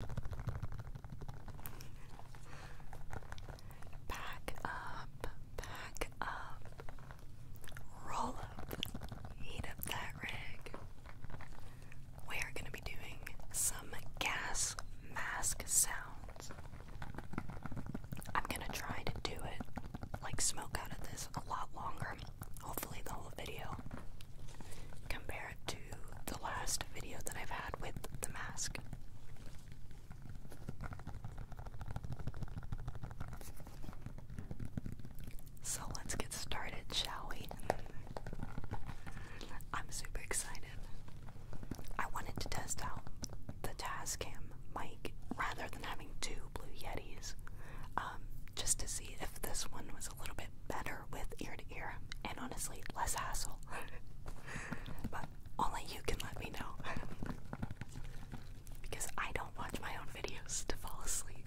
Back up, back up, roll up, heat up that rig. We are going to be doing some gas mask sounds. I'm going to try to do it like smoke out of this a lot longer. Hopefully, the whole video compared to the last video that I've had with the mask. So let's get started, shall we? I'm super excited. I wanted to test out the Tascam mic rather than having two Blue Yetis, um, just to see if this one was a little bit better with ear to ear and honestly less hassle. but only you can let me know. because I don't watch my own videos to fall asleep.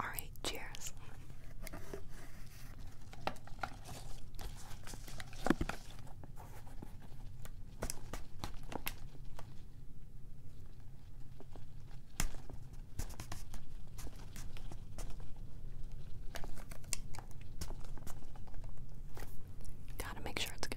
All right, cheers. Gotta make sure it's good.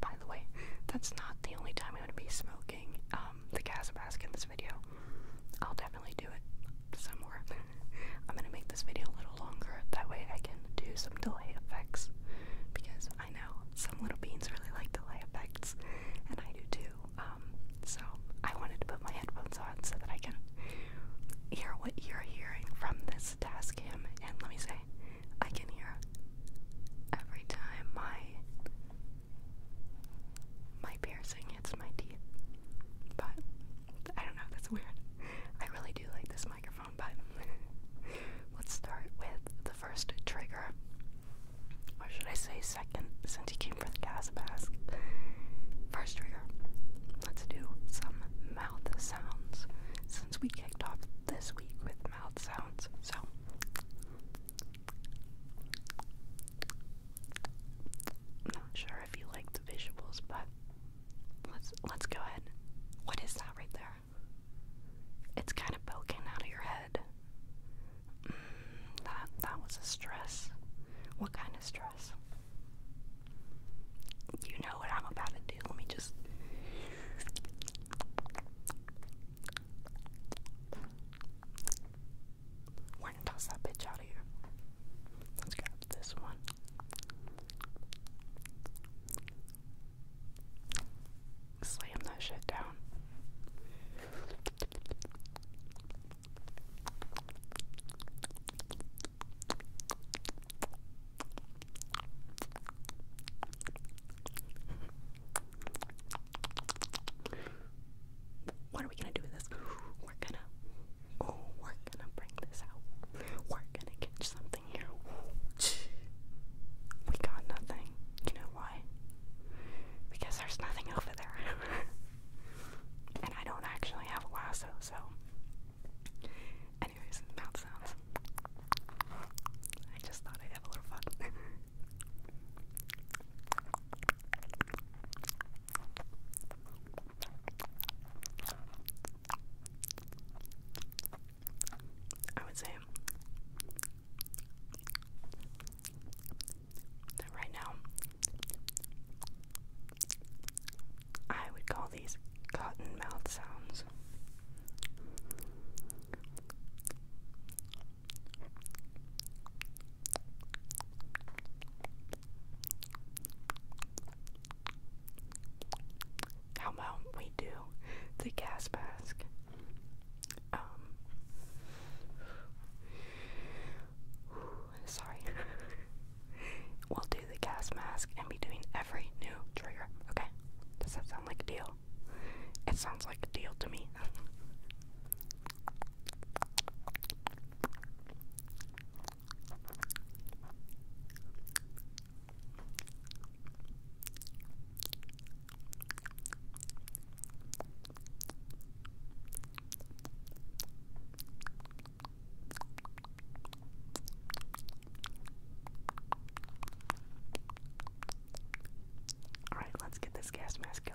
By the way, that's not the only time I'm going to be smoking um, the gas mask in this video. I'll definitely do it some more. I'm going to make this video a little longer, that way I can do some delay effects. Because I know some little beans really like delay effects, and I do too. Um, so I wanted to put my headphones on so that I can hear what you're hearing from this task cam. And let me say, I can hear every time my my piercing hits my teeth. But I don't know, that's weird. I really do like this microphone, but let's start with the first trigger. Or should I say second, since you came for the gas mask? First trigger. Let's do some mouth sounds we kicked off this week with mouth sounds. So I'm not sure if you like the visuals, but let's let's go ahead. What is that right there? It's kind of poking out of your head. Mm, that that was a stress. What kind of stress? You know what I'm about to do. Let me just we're gonna toss that bitch out of here. Let's grab this one. Slam that shit down. What are we gonna do with this? We're gonna, oh, we're gonna bring this out. We're gonna catch something here. We got nothing. You know why? Because there's nothing over there. and I don't actually have a lasso, so Anyways, mouth sounds. I just thought I'd have a little fun. I would say that right now I would call these cotton mouth sounds. How about we do the gas mask? Um, sorry. we'll do the gas mask and be doing every new trigger. Okay? like a deal? It sounds like a deal to me. Alright, let's get this gas mask going.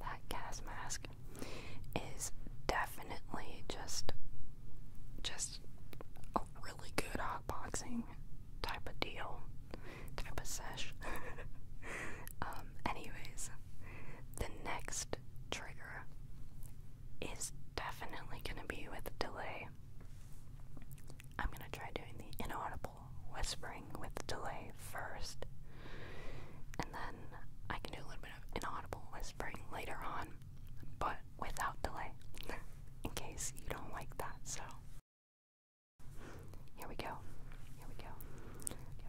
That gas mask is definitely just just a really good boxing type of deal, type of sesh. Um, anyways, the next trigger is definitely going to be with delay. I'm going to try doing the inaudible whispering with delay first, and then I can do a little bit of inaudible whispering later on, but without delay, in case you don't like that. So, here we go. Here we go. Here we go.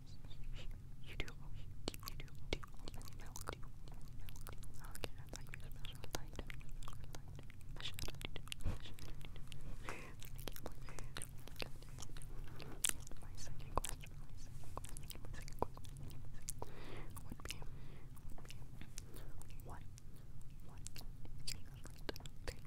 You do, you do, do milk. Okay, I thought you were special. I thought you were special. I should have done it. I can't My second question, my second question, my second question, would be, would be, what, what is your favorite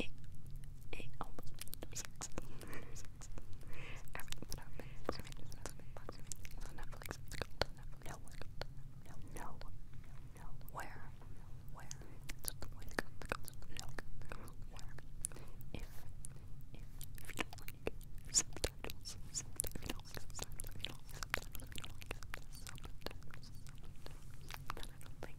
eight, eight, almost six, six. Everything's on Netflix. It's called Netflix. No, no, no, no. Where? Where? It's the way it goes. No, where? If, if, if you don't like subtitles, subtitles, subtitles, subtitles, subtitles, subtitles, subtitles, subtitles, but I don't think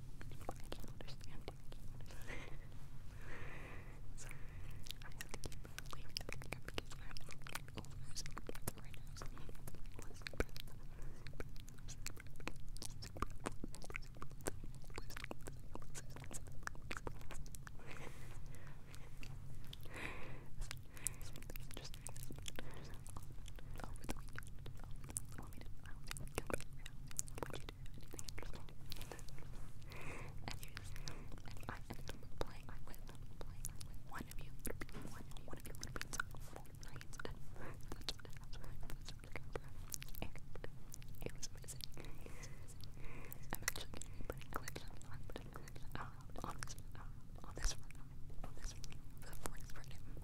I can't understand it. I can't understand. so I have to keep playing the picture because I have to keep over this breath right now. So I'm breath. Something interesting happened over the weekend. Over the weekend. I don't think you can would you do anything interesting? Anyways, and I ended up playing with, playing with one of you, one, one of you would be so Fortnite. That's what it was, that's what it was, and it was amazing. It was amazing. I'm actually going to be putting clips on, I'm putting clips on, on this, uh, on this Fortnite, on this Fortnite, for the Fortnite,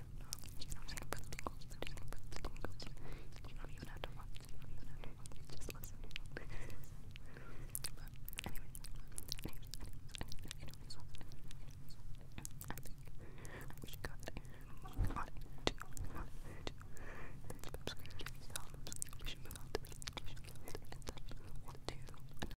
right? You know what I'm saying? For the tingles, the tingles, for the tingles. You don't even have to watch. You don't even have to watch. Just listen. but anyways, anyways, anyways, anyways, anyways, anyways, I think we should cut it. We should cut it. Too. Cut it. Too. That's subscribe. Give me thumbs. We should move on to the education. And then we'll do another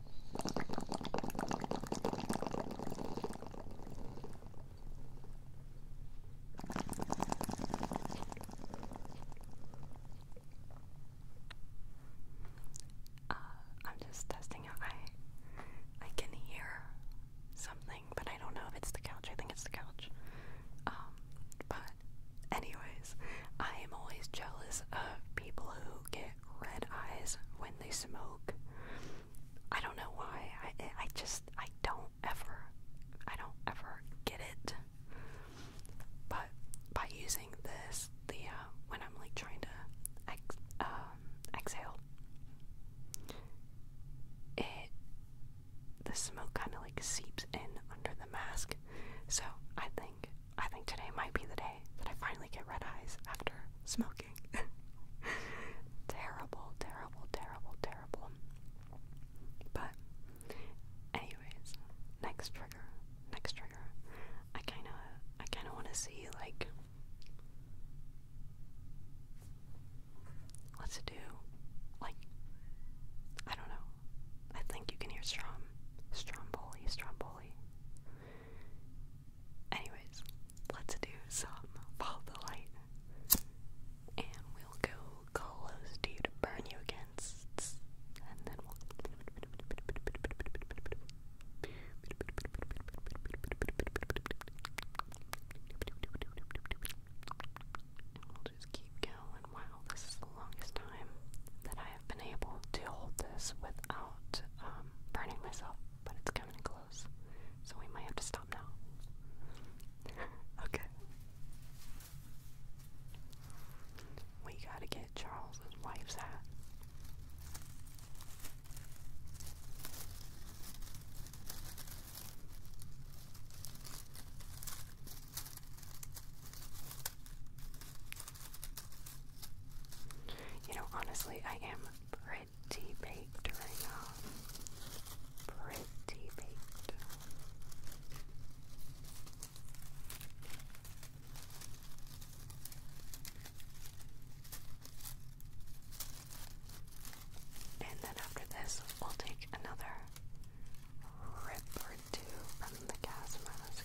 Uh, I'm just testing out. I can hear something, but I don't know if it's the couch. I think it's the couch. Um, but anyways, I am always jealous of people who get red eyes when they smoke. I don't know why. I I just I don't ever I don't ever get it. But by using this, the uh, when I'm like trying to um, exhale, it the smoke kind of like seeps in under the mask. So I think I think today might be the day that I finally get red eyes after smoking. terrible, terrible, terrible, terrible. But, anyways, next trigger, next trigger. I kind of, I kind of want to see like, let's do, like, I don't know. I think you can hear Strom, Stromboli, Stromboli. Anyways, let's do some follow the light. And we'll go close to burn you against. And then we'll. just keep going. Wow, this is the longest time that I have been able to hold this without um, burning myself, but it's coming close, so we might have to stop now. okay. We gotta get Charles's wife's hat. You know, honestly, I am pretty baked right now. Pretty baked. And then after this, we'll take another rip or two from the gas mask.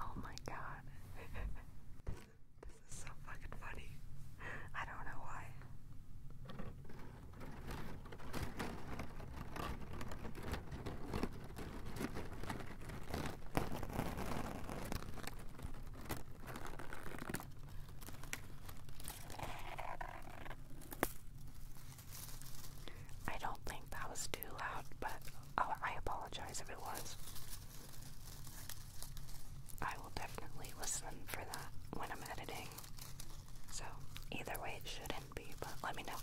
Oh my god. this, is, so fucking funny. I don't know why. I don't think that was loud, but oh, I apologize if it was. I will definitely listen for that when I'm editing. So, either way, it shouldn't be, but let me know.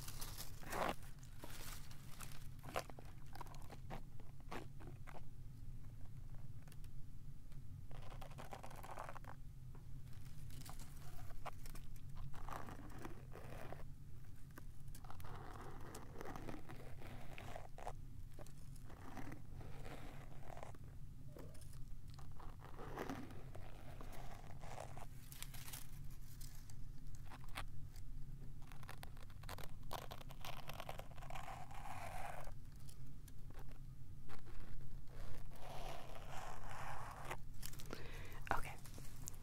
Okay,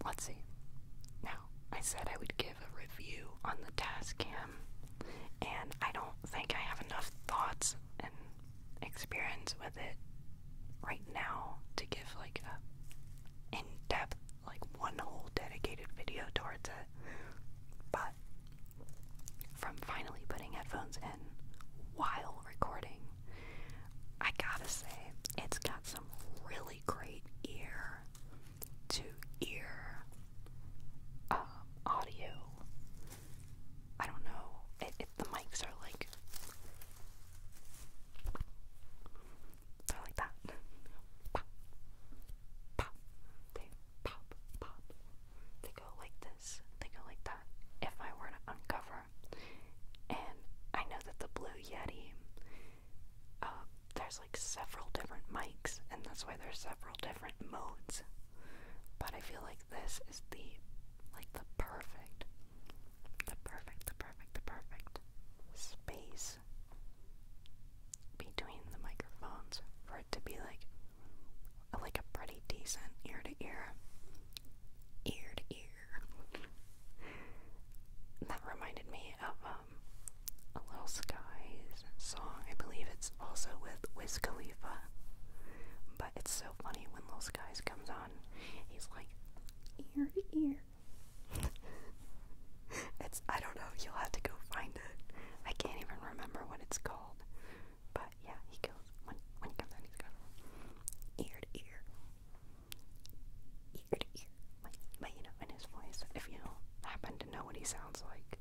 let's see. Now, I said I would give a review on the Tascam, and I don't think I have enough thoughts and experience with it right now to give like a in-depth, like one whole dedicated video towards it. But from finally putting headphones in while recording, I gotta say it's got some really great ear to ear um, audio. I don't know if, the mics are like they're like that. Pop, pop, they pop, pop. They go like this. They go like that. If I were to uncover, and I know that the Blue Yeti uh, there's like several different mics, and that's why there's several different modes. But I feel like this is the like the perfect, the perfect, the perfect, the perfect space between the microphones for it to be like like a pretty decent ear to ear, ear to ear. That reminded me of um, um, a Little Skies song. I believe it's also with Wiz Khalifa. But it's so funny when Little Skies comes on, he's like ear to ear. it's I don't know. You'll have to go find it. I can't even remember what it's called. But yeah, he goes when when he comes on, he's going ear to ear, ear to ear but you know, in his voice, if you happen to know what he sounds like.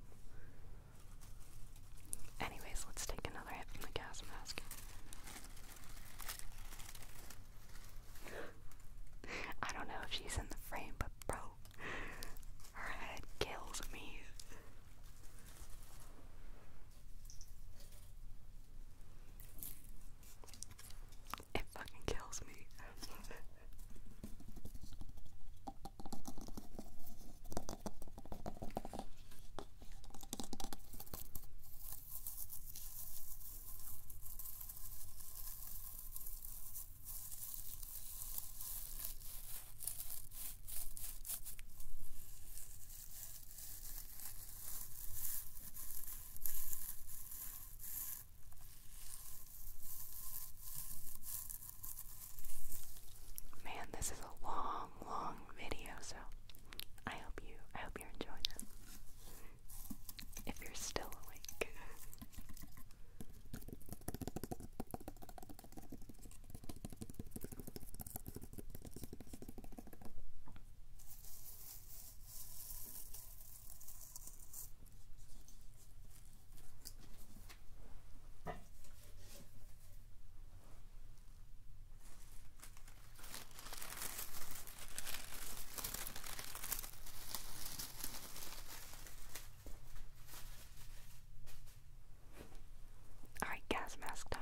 Anyways, let's take another hit from the gas mask. I don't know if she's in the frame, but bro, her head kills me. It fucking kills me. Man, this is a long, long video, so I hope you I hope you're enjoying it. If you're still awake. All right, gas mask time.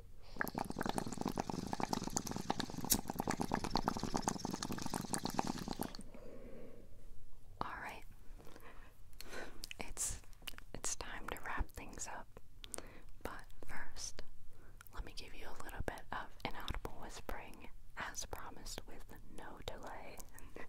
All right. It's it's time to wrap things up. But first, let me give you a little bit of inaudible whispering as promised with no delay.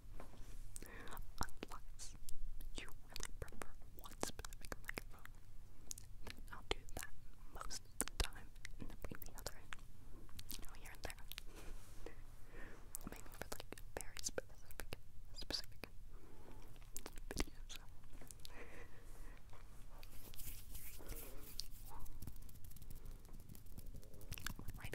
Unless you really prefer one specific microphone, I'll do that most of the time and then bring other here and there. Maybe for like very specific, specific videos. Right,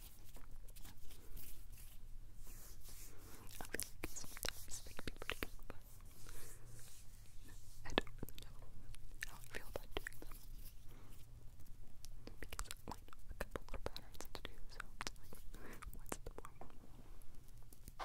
I think sometimes they can be pretty good, but I don't really know how I feel about doing them. Because I know a couple little patterns to do, so it's like, what's the point? I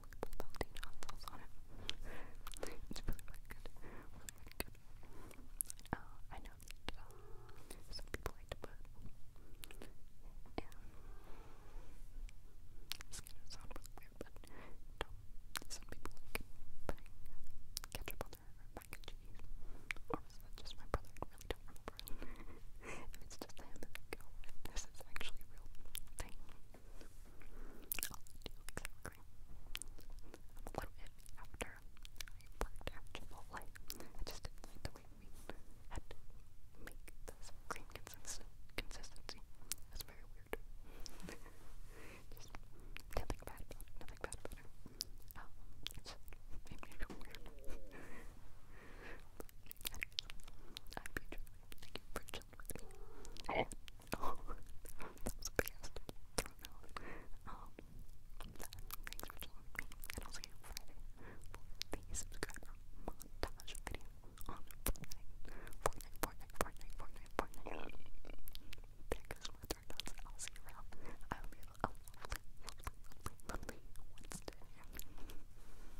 little melting it's really, good. Uh, I know that kind of sound but some people like putting ketchup on their mac and cheese. Or just my brother? I really don't remember if it's just him, it's like, oh, if this is actually a real thing, I'll do exactly. I'm a little after I worked at Chipotle. I just the way we had make this cream consist consistency. That's very weird. just nothing bad nothing bad about it. Um, me feel weird. I beat you Thank you for chilling me. that was fast. I thanks for chilling me. And I'll see you Friday for the subscriber montage video on Fortnite. Fortnite, Fortnite, Fortnite, Fortnite, Fortnite. That goes my third thoughts. I'll see you around. I hope you have